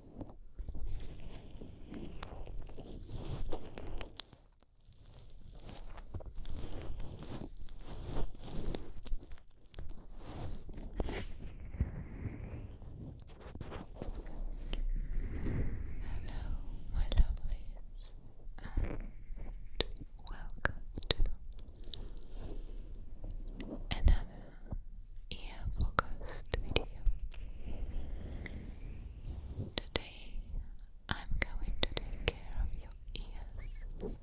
Hello, my lovelies, and welcome to another ear focused video. Today I'm going to take care of your ears and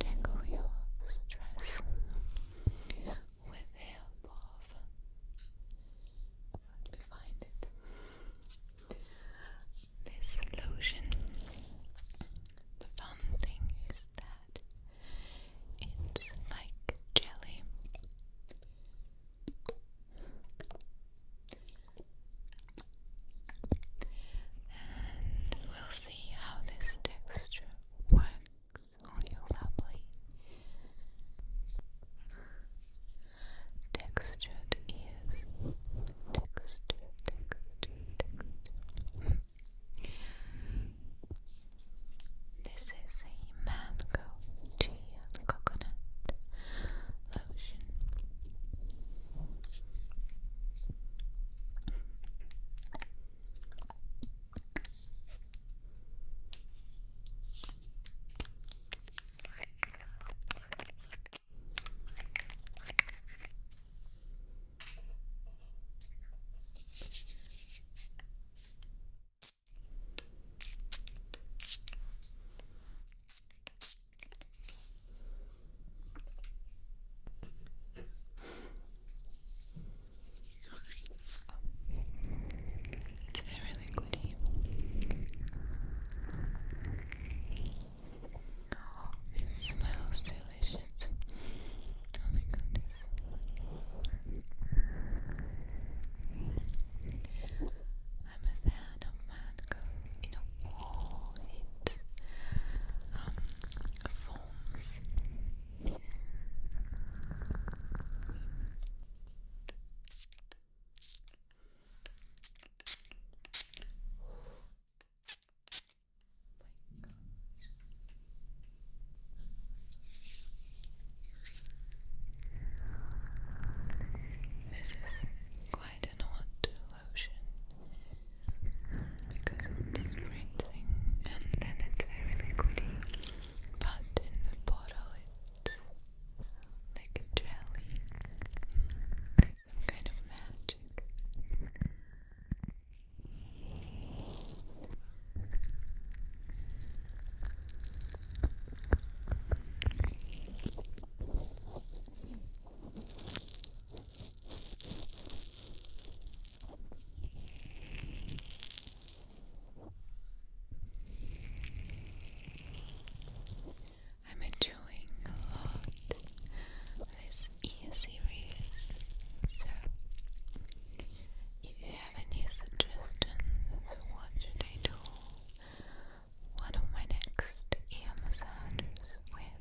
tackle your stress with the help of let me find it. This lotion. The fun thing is that it's like jelly. we'll see how this texture works on your lovely textured ears. Texture, texture, texture. This is a mango, tea, and coconut lotion. It's very liquidy. it smells delicious. Oh my goodness. I'm a fan of mango, you know, all um, forms. This is quite an odd lotion because it's rinsing and then it's very liquidy, but in the bottle it's like a jelly, kind of magic. I'm enjoying a lot this e series, so if you have any suggestions, what should I do? One of my next ear massages with?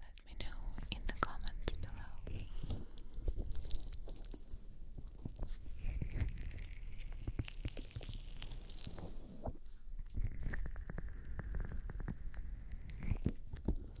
Let me know in the comments below. Thank you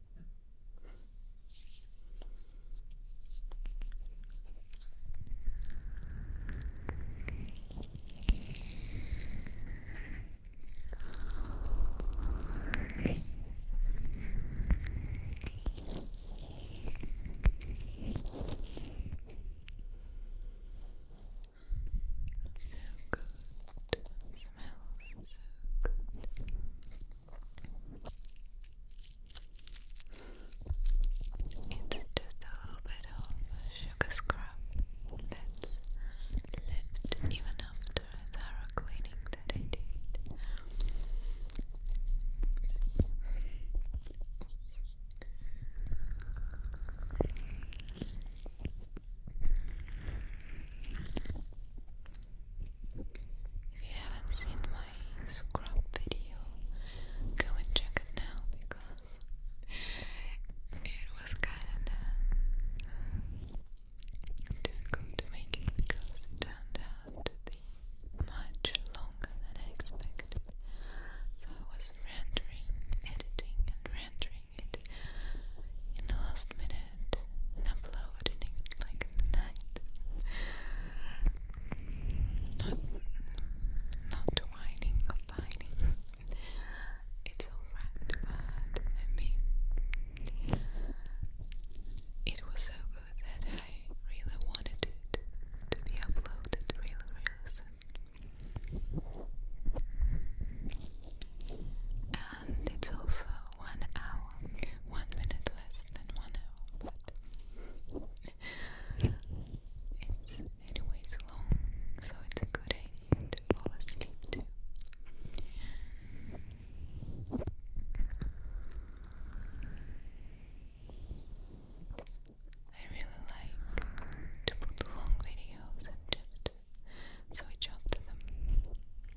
So good. Smells so good just a little bit of sugar scrub that's left even after a thorough cleaning that I did. If you haven't seen my scrub video, go and check it now because it was kinda difficult to make it because it turned out to be much longer than I expected. So I was rendering, editing, and rendering it in the last minute it and upload like night. Not, not whining or pining. It's alright, but I mean, it was so good that I really wanted it to be uploaded really, really And it's also one hour, one minute less than one hour, but it's anyways long, so it's good idea to fall asleep too. I really like to put long videos and just switch off to them.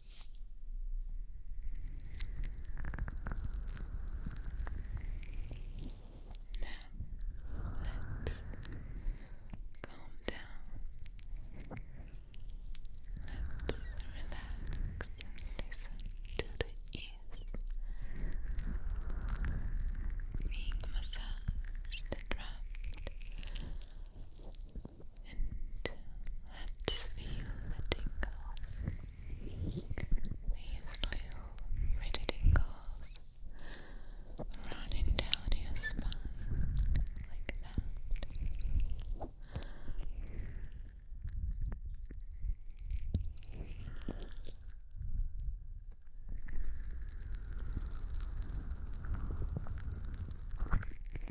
Now, let calm down. Let's relax and listen to the ears being massaged and rubbed and let's feel the tingles. These little pretty tingles running down your spine like that.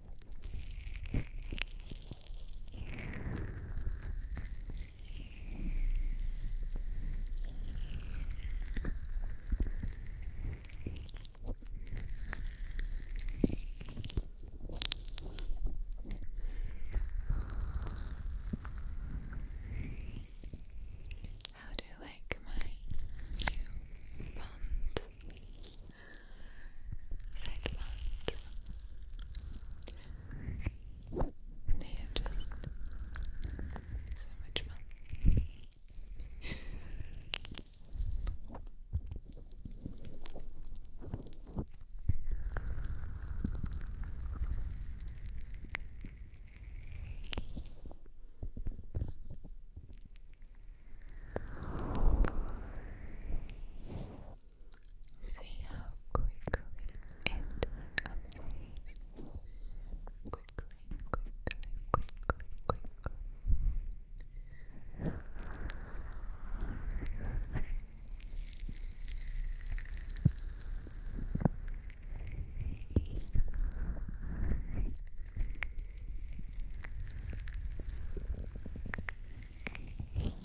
How do you like my new bond? seit months. They are just so much fun. See how quickly it updates. Quickly, quickly, quickly, quickly.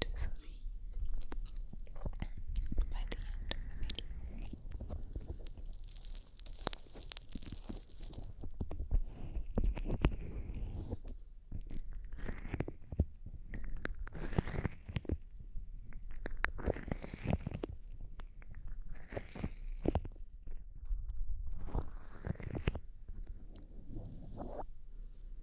to sleep by the end of the video. Thank you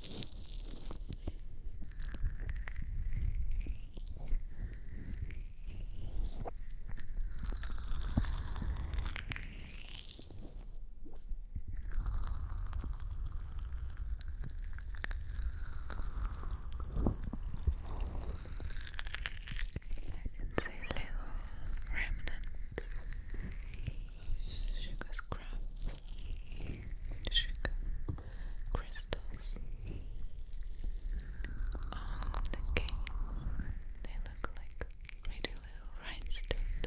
I can see little remnants of sugar scrap, sugar crystals on the cake. They look like pretty little rhinestones.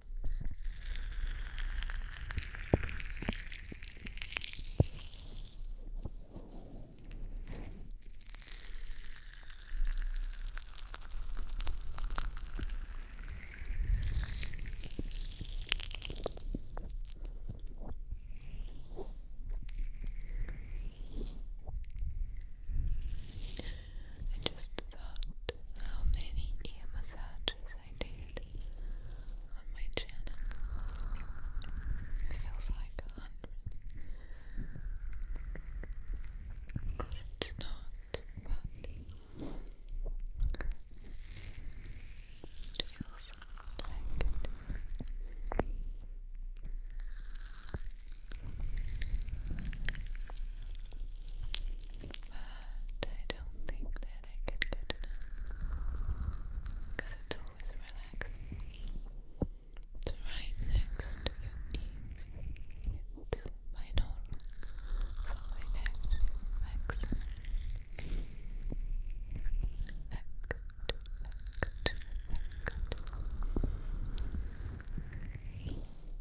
I just thought how many ear massages I did on my channel. It feels like a hundred. It's not, but it feels like but I don't think that I could get enough because it's always relaxing. It's right next it actually relaxes. Back to back to back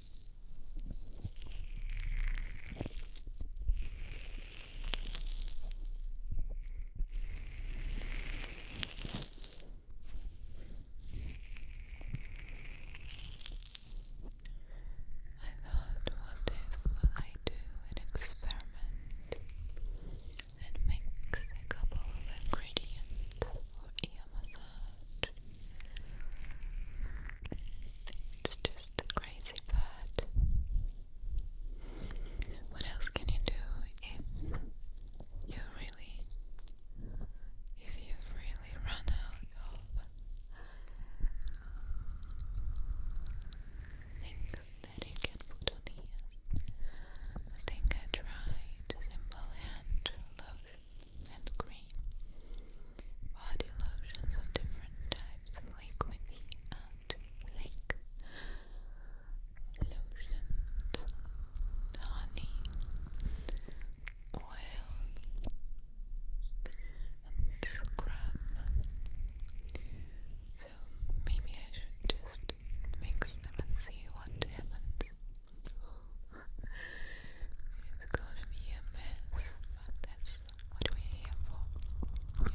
I thought, what if I do an experiment and mix a couple of ingredients or even a It's just the crazy part. What else can you do if you really, if you really run out of things that you can put on ears? I think I tried simple hand lotion and green. Body lotions of different types, liquidy and thick. Lotions, honey, oil, and scrub. So maybe I should just mix them and see what happens it's gonna be a mess, but that's what we're here for.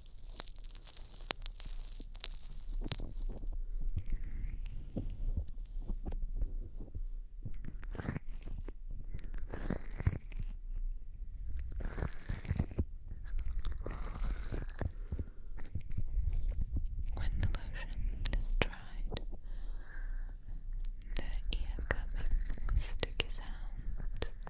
When the lotion dried, the ear cupping sticky sound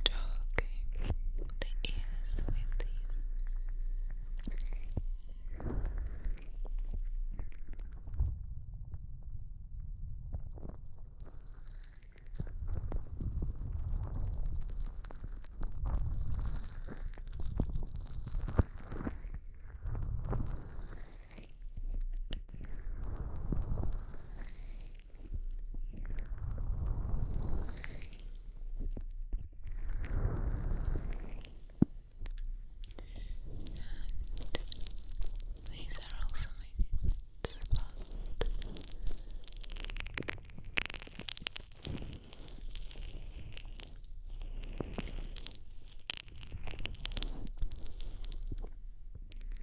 stroking the ears with these and these are also my favorite spot.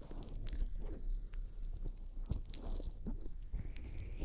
So tell me, so tell me, am I asleep? Am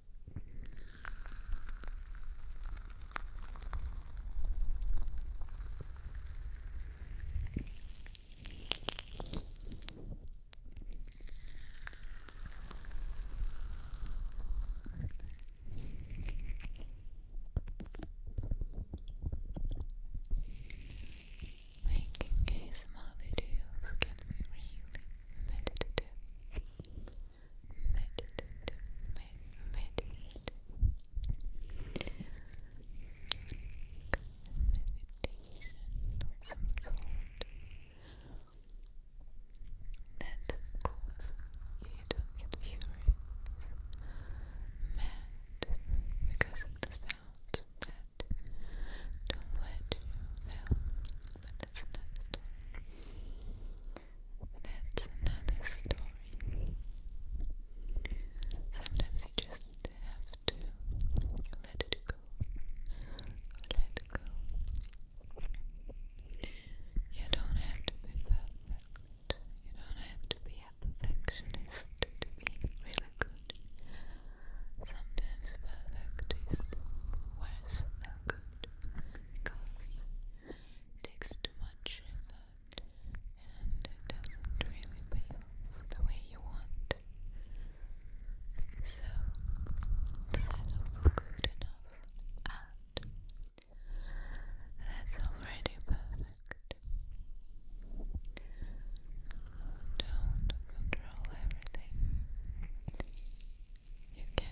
Making ASMR videos can be really meditative, meditative, med meditative, meditation of some sort. And you don't get furious, mad because of the sounds let don't let you fail. But that's another That's another story. Sometimes you just have to let it go. Let go. You don't have to be perfect. You don't have to be perfectionist to be really good. Sometimes perfect is worse good because it takes too much and it doesn't really pay the way you want. So settle for good enough and that's already perfect don't control everything. You can't.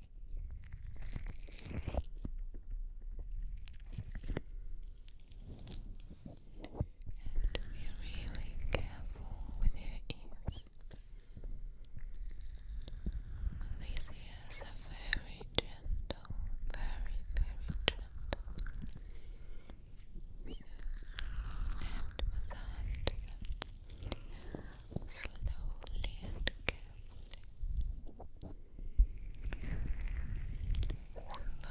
to be really careful with your ears. These ears are very gentle, very, very gentle. So, massage them slowly and carefully. Slowly and carefully. Now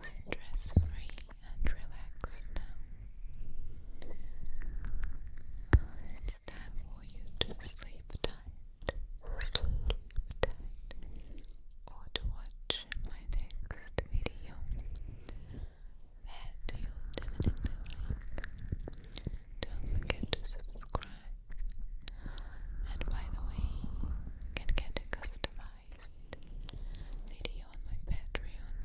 stress free and relaxed now. It's time for you to sleep tight, sleep tight, or to watch my next video that you'll like. Don't forget to subscribe and by the way, you can get a customized video on my Patreon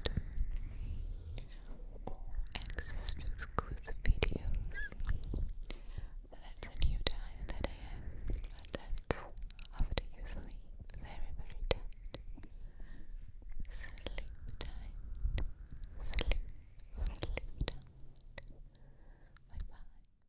or access to exclusive videos. That's a new diet that I have, that's after you very, very tight. Sleep tight. Sleep, sleep Bye bye.